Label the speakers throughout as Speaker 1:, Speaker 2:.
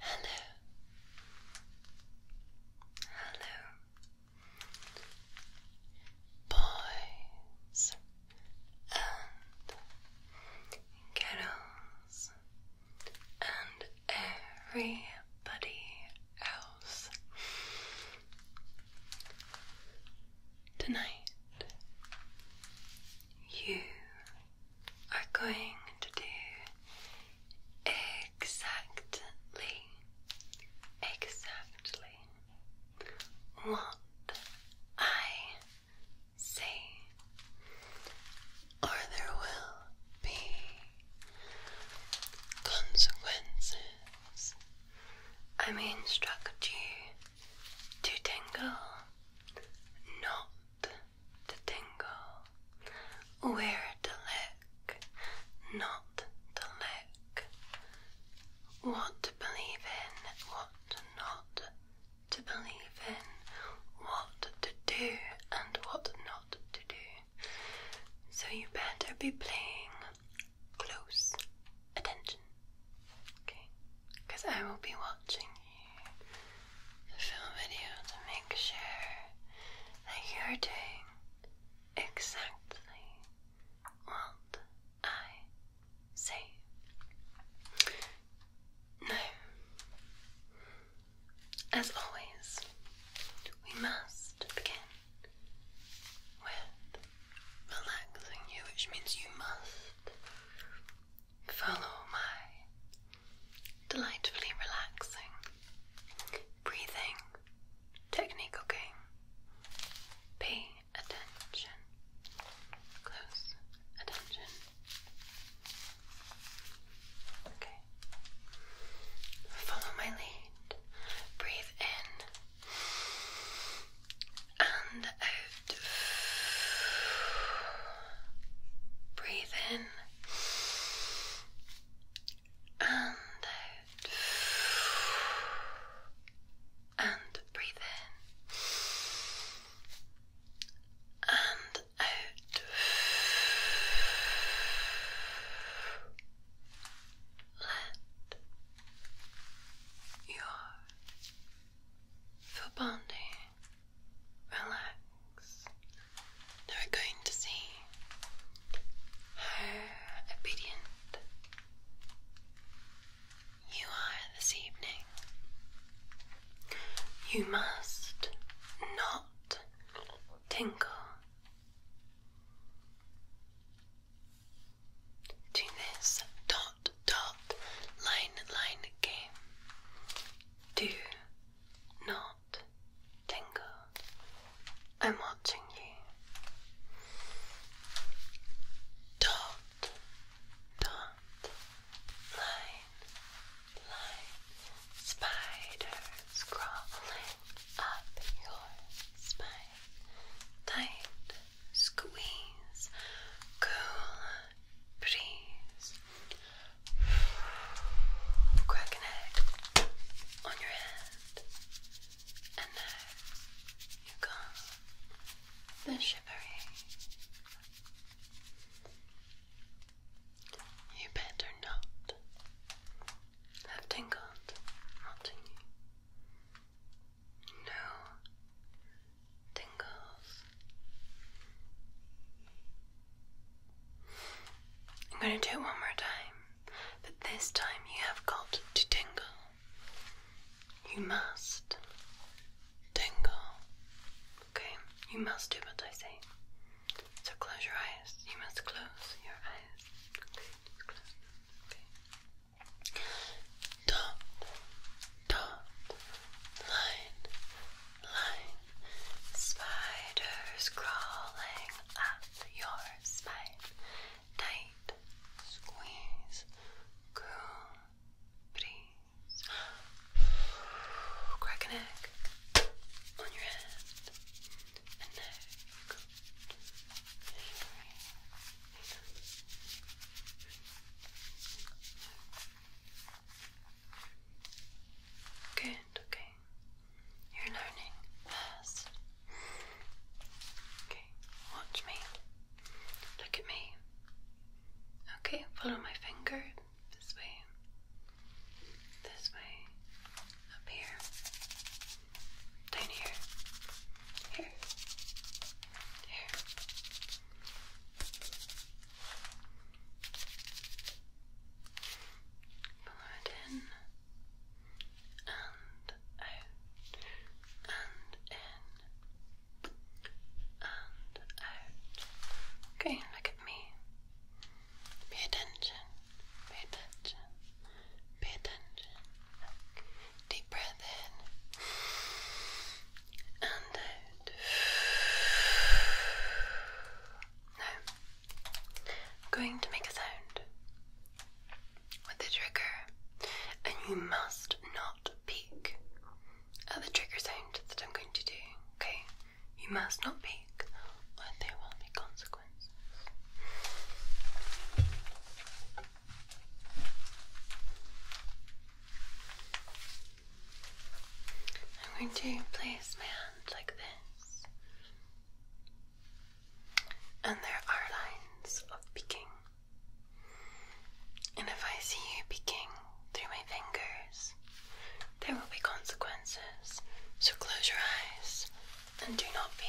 Speaker 1: Hello. Hello. Boys and girls and everybody out Tonight, you are going to do exactly, exactly what I say, or there will be consequences. I may instruct you to tingle, not to tingle, where to look, not to look. what to believe in, what not to believe in, what to do and what not to do. So you better be paying close attention. Okay? Because I will be watching you film video to make sure that you're doing exactly what I say. Now, as always, we must begin with relaxing you, which means you must follow my delightfully relaxing breathing technique, okay? Pay attention, close attention. Follow my lead. Breathe in and out. Breathe in and out. And breathe in. And out. Let your full relax. we're going to see how obedient you are this evening. You must not tingle to this dot dot line line game. Do not tingle. I'm watching you. Dot dot line line spider crawling up your spine. Tight squeeze, cool breeze. Crack an on your hand, and now you got the shivering. You better not have tingled, not No tingles. I'm going to do it one more time, but this time you have got to tingle. You must tingle. Okay? You must do what I say. So close your eyes. You must close your eyes. Okay, just close. Okay. Dot, dot, Spiders crawling up your spine. Tight, squeeze, groom, breeze. Crack an egg on your head. Good, okay. You're learning fast. Okay, watch me. Look at me. Okay, follow my finger this way. This way, up here, down here, here, here. Follow it in and out and in and out. Okay, look at me. Pay attention. Pay attention. Pay attention. Deep breath in and out. Now, I'm going to make a sound with the trigger, and you must not peek at the trigger sound that I'm going to do, okay? You must not peek, or there will be consequences. I'm going to place my hand like this, and there are lines of peeking. And if I see you peeking through my fingers, there will be consequences. So close your eyes and do not peek.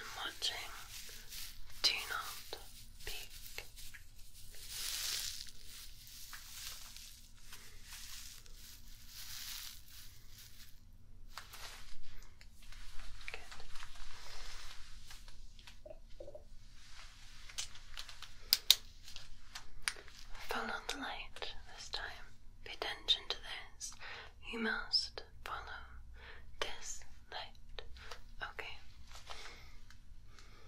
Speaker 1: I'm watching. Do not peek. Follow the light this time. Pay attention to this. You must follow this light. Okay.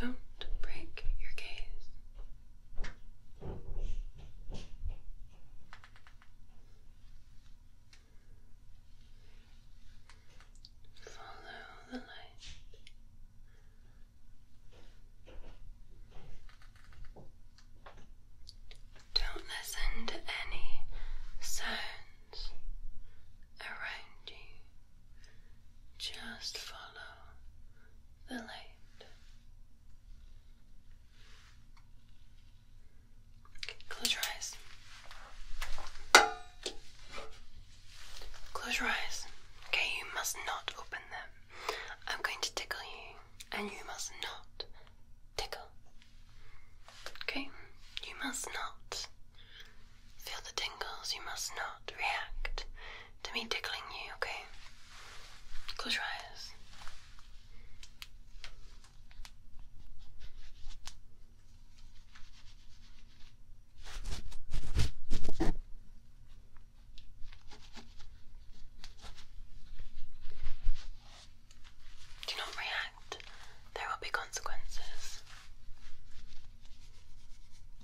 Speaker 1: Don't break your gaze. Follow the light. Don't listen to any sounds around you. Just follow the light. Okay, close your eyes. Close your eyes. Okay, you must not open them. I'm going to tickle you, and you must not tickle. Okay? You must not feel the tingles. You must not react to me tickling you, okay? Close your eyes. Do not react. There will be consequences.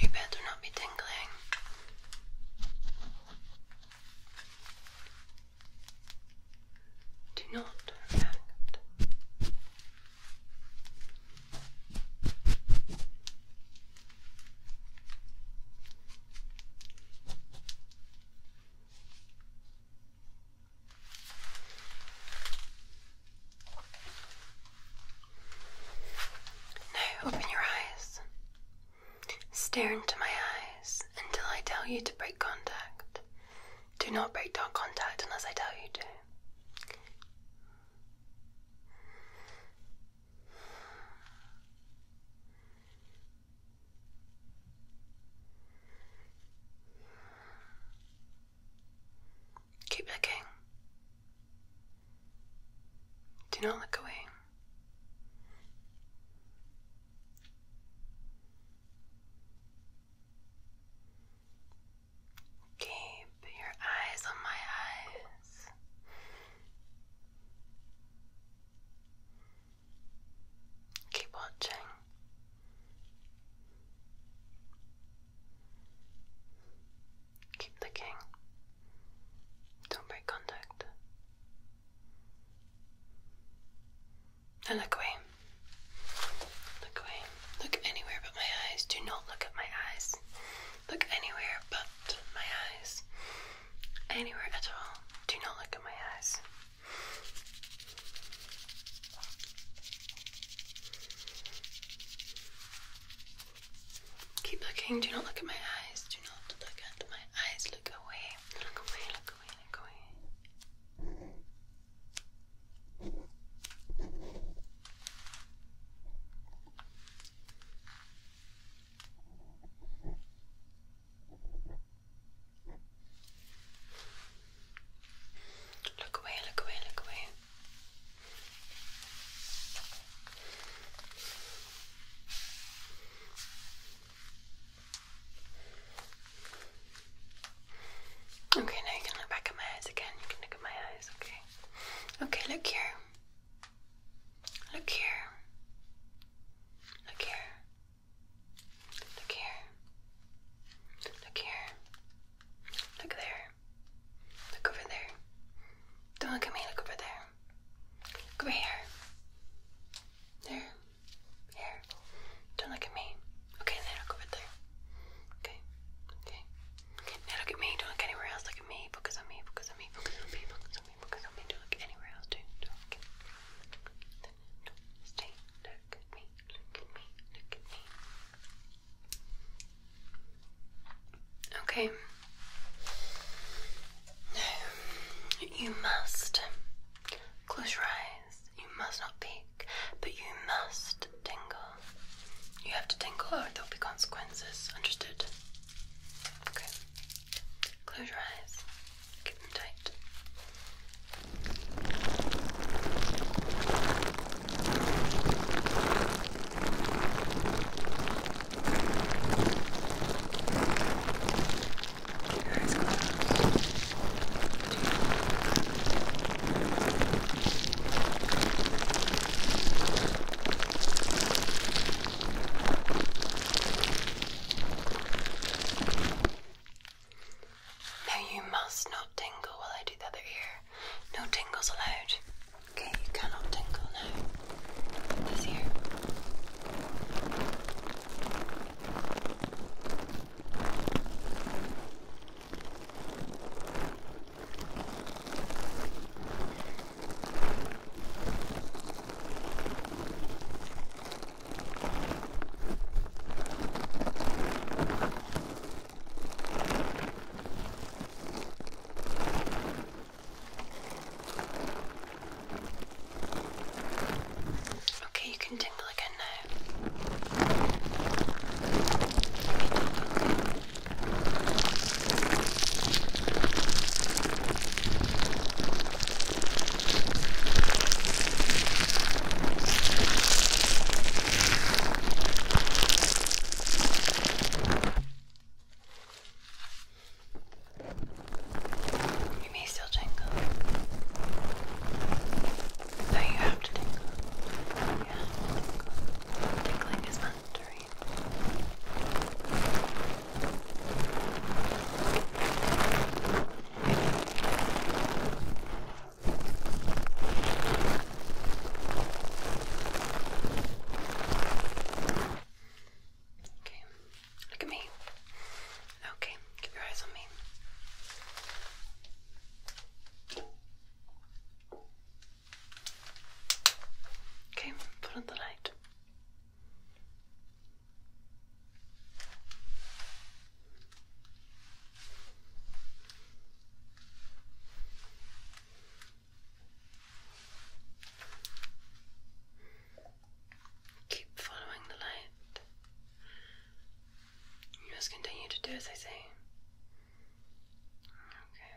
Speaker 1: You better not be tingling. Do not react. Now open your eyes. Stare into my eyes until I tell you to break contact. Do not break contact unless I tell you to. Keep looking. Do not look away. Keep your eyes on my eyes. Keep watching. Keep looking. Don't break contact. Now look away. Look away. Look anywhere but my eyes. Do not look at my eyes. Look anywhere but my eyes. Anywhere at all. Do not look at my eyes. Keep looking. Do not look at my eyes. Do not look at my eyes. Look away. Look away. Look away. Look away. Look away, look away, look away. Okay, now you can look back at my eyes again. You can look at my eyes, okay? Okay, look here. Look here. Look here. Look here. Look here. Look there. Look over there. Don't look at me, look over there. Look over here. There. Here. Don't look at me. Okay, now look over there. Okay. Okay. Now look at me. Don't look anywhere else. Look at me. Focus on me. Focus on me. Focus on me. Focus on me because I'm going to look anywhere else too. So, okay. Then do Look at me. Look at me. Look at me. Okay. No, you must close your eyes. You must not peek, but you must tingle. You have to tingle, or there'll be consequences. Understood? Okay. Close your eyes. Keep them tight. Keep your eyes closed. Two. Now you must not tingle while I do the ear. No tingles allowed. Okay, you cannot tingle now. This ear. Okay, you can tingle again now. Okay, okay. You may still tingle. Though you have to tingle. You have to tingle. Tickling is my Okay, look at me. Okay, keep your eyes on me. Okay, put on the light. Keep following the light. You must continue to do as I say. Okay.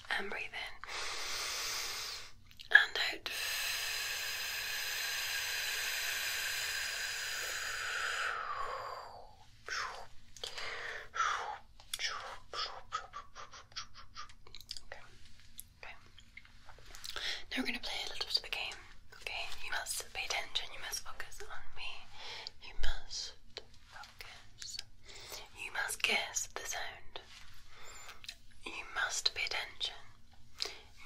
Speaker 1: and breathe in and out. Now we're going to play a little bit of a game. Okay, you must pay attention, you must focus on me, you must you must guess the sound. You must pay attention.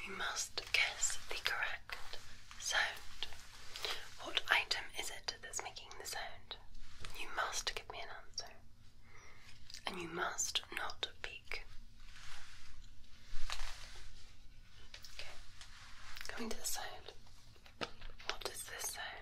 Speaker 1: You must guess the correct sound. What item is it that's making the sound? You must give me an answer. And you must not peek. Okay, coming to the sound. What is this sound?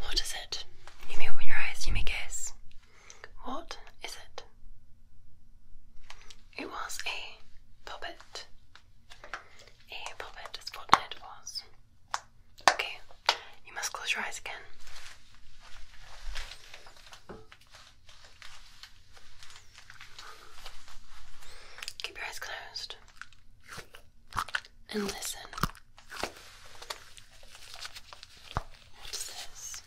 Speaker 1: What is it? You may open your eyes, you may guess. What is it? It was a puppet. A puppet Its what it was. Okay, you must close your eyes again. Keep your eyes closed and listen. What's this?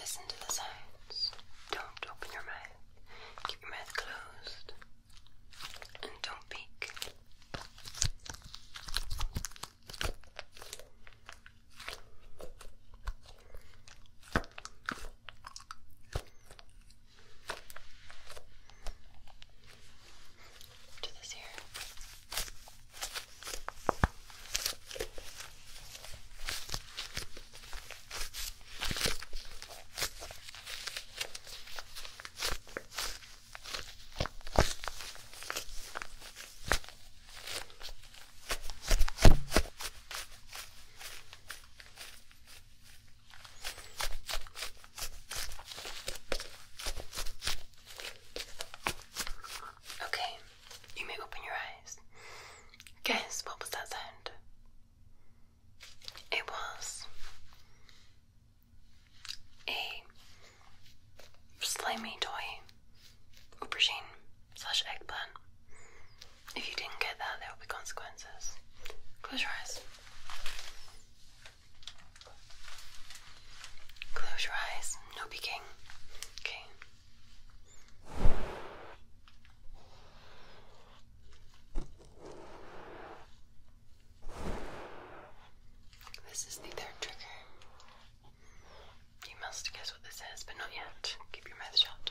Speaker 1: Listen to the sounds. Don't open your mouth. Keep your mouth closed. And don't peek. Do this here. Okay. Okay, you may open your eyes. Guess what was that sound? It was a slimy toy aubergine slash eggplant. If you didn't get that, there will be consequences. Close your eyes. Close your eyes, no peeking. Okay. This is the third trigger. You must guess what this is, but not yet. Keep your mouth shut.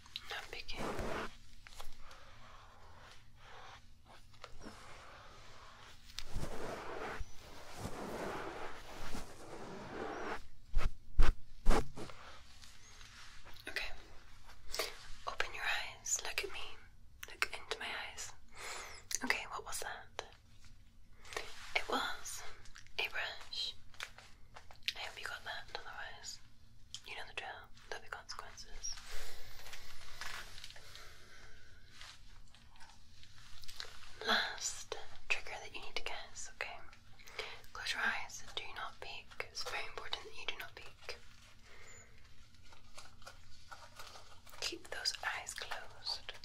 Speaker 1: Not picking. Okay. Open your eyes. Look at me. Look into my eyes. Okay, what was that? It was a brush. I hope you got that, otherwise, you know the drill, there'll be consequences. Last trigger that you need to guess, okay? Close your eyes and do not peek. It's very important that you do not peek. Keep those eyes closed.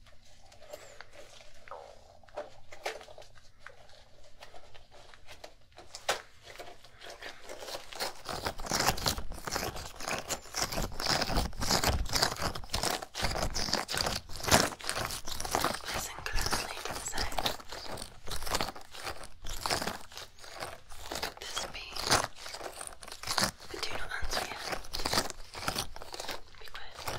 Speaker 1: Listen closely to the sound. This beat, but do not answer yet. Be quiet.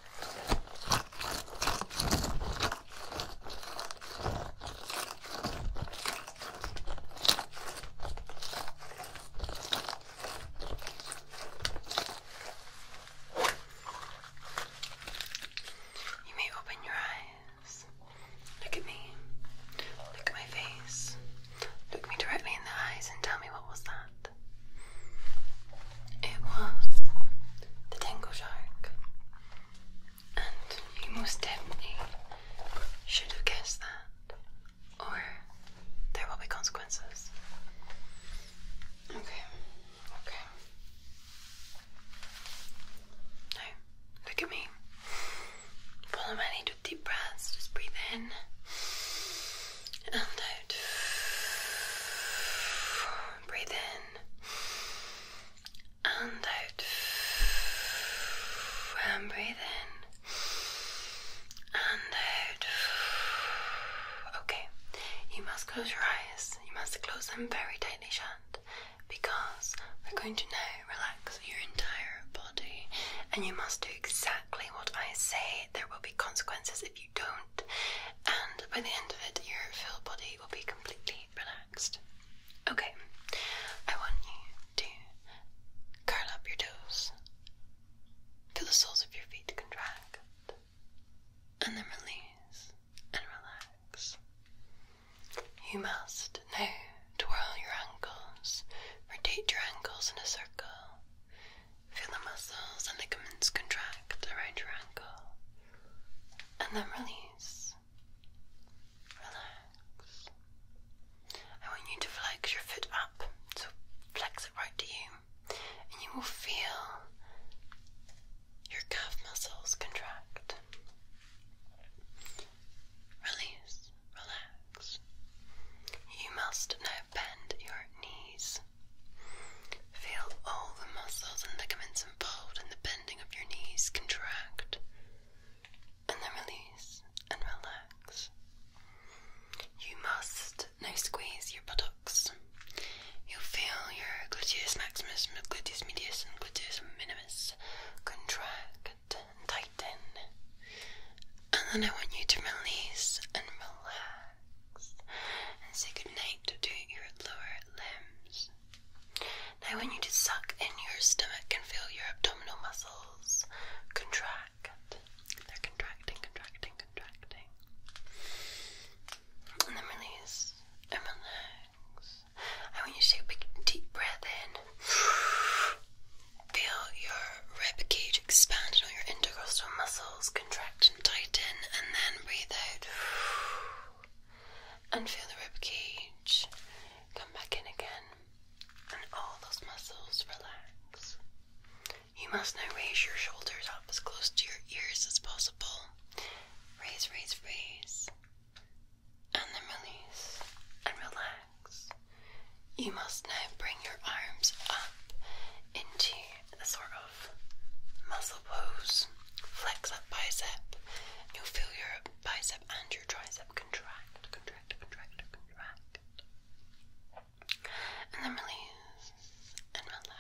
Speaker 1: You may open your eyes. Look at me. Look at my face. Look me directly in the eyes and tell me what was that. It was the Tengo Shark. And you most definitely should have guessed that, or there will be consequences. Okay, okay. Now, look at me. Follow my lead with deep breaths. Just breathe in and out breathe in and out, and breathe in and out. Okay, you must close your eyes, you must close them very tightly shut because we're going to now relax your entire body and you must do exactly what I say. There will be consequences if you don't, and by the end of it, your whole body will be completely relaxed. Okay, I want you to curl up your toes, feel the soles of your feet contract, and then release and relax. You must now twirl your ankles, rotate your ankles in a circle, feel the muscles and ligaments contract around your ankle, and then release. Relax. I want you to flex your foot up, so flex it right to you, and you will feel your calf muscles contract. Release, relax. You must now bend your knees Feel all the muscles and ligaments involved in the bending of your knees contract and then release and relax. You must now squeeze your buttocks. You'll feel your gluteus maximus, gluteus medius, and gluteus minimus contract and tighten. And then I want you to release and relax and say good night to your lower limbs. I want you to suck in your stomach and feel your abdominal muscles contract. They're contracting, contracting, contracting. And then release and relax. I want you to take a big deep breath in. Feel your rib cage expand and all your intercostal muscles contract tighten, and then breathe out. And feel the rib cage come back in again, and all those muscles relax. You must now raise your shoulders up as close to your ears as possible. Raise, raise, raise, and then release and relax. You must now bring your arms up into a sort of muscle pose. Flex that bicep. You'll feel your bicep and your tricep contract, contract, contract, contract. And then release and relax.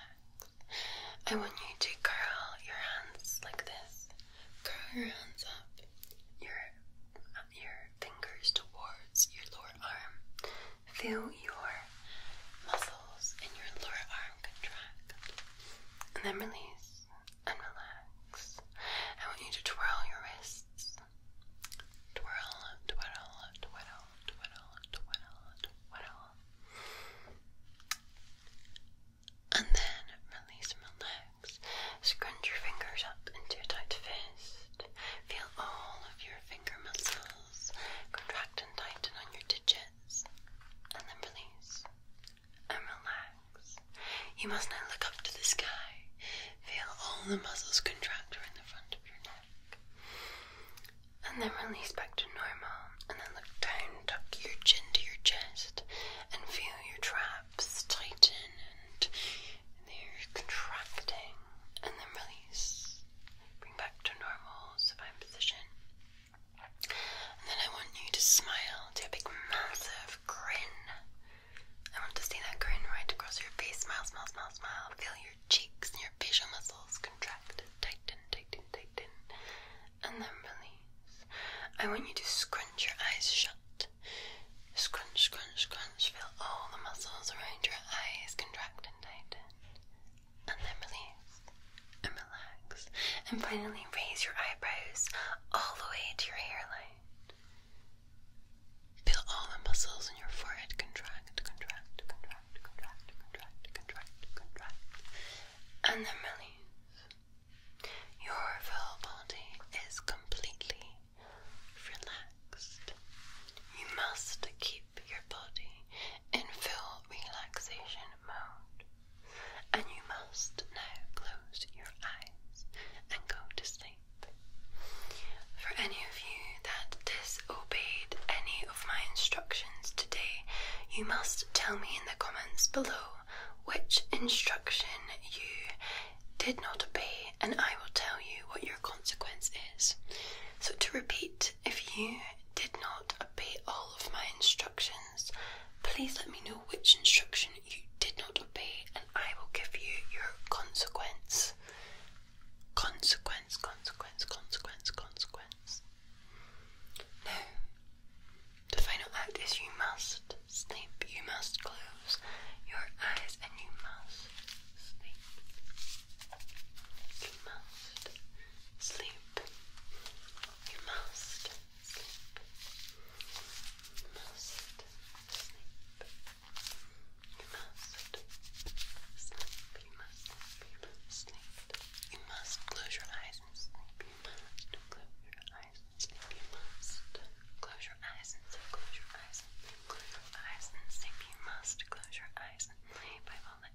Speaker 1: I want you to curl your hands like this. Curl your hands up, your your fingers towards your lower arm. Feel your muscles in your lower arm contract. And then release and relax. I want you to twirl your wrists. Twirl, twiddle, twiddle, twiddle, twiddle, twiddle. And then release and relax. Scrunch your fingers up into a tight fist. Feel all of your finger muscles contract and tighten on your digits and then release and relax. You must now look up to the sky. Feel all the muscles contract around the front of your neck. And then release back to normal. And then look down, tuck your chin to your chest, and feel your traps tighten and they're contracting. And then release. Bring back to normal supine position. And then I want you to smile, do a big massive grin. I want to see that grin right across your face. Smile, smile, smile, smile. Feel your cheeks and your facial muscles contract, tighten, tighten, tighten, and then release. I want you to scrunch your eyes shut. Scrunch, scrunch, scrunch. Feel all the muscles around your eyes contract and tighten and then release and relax. And finally, raise your eyebrows all the way to your hairline. Feel all the muscles in your forehead contract, contract, contract, contract, contract, contract, contract, and then release. Your full body is completely relaxed. You must keep your body in full relaxation mode, and you must now close your eyes and go to sleep. For any of you that disobeyed any of my instructions today, you must tell me in the comments below which instruction you did not obey, and I will tell you what your consequence is. So, to repeat, if you did not obey all of my instructions, please let me know which instruction you did not obey, and I will give you your consequence. Consequence, consequence, consequence, consequence. Now, the final act is you must sleep, you must close your eyes, and you must sleep. You must sleep. You must sleep. must sleep. You must sleep. You must You must sleep. You must close your eyes and sleep. You must close your eyes and sleep. You must close your eyes and sleep. Close your Close your eyes and sleep. You must close your eyes and sleep. I will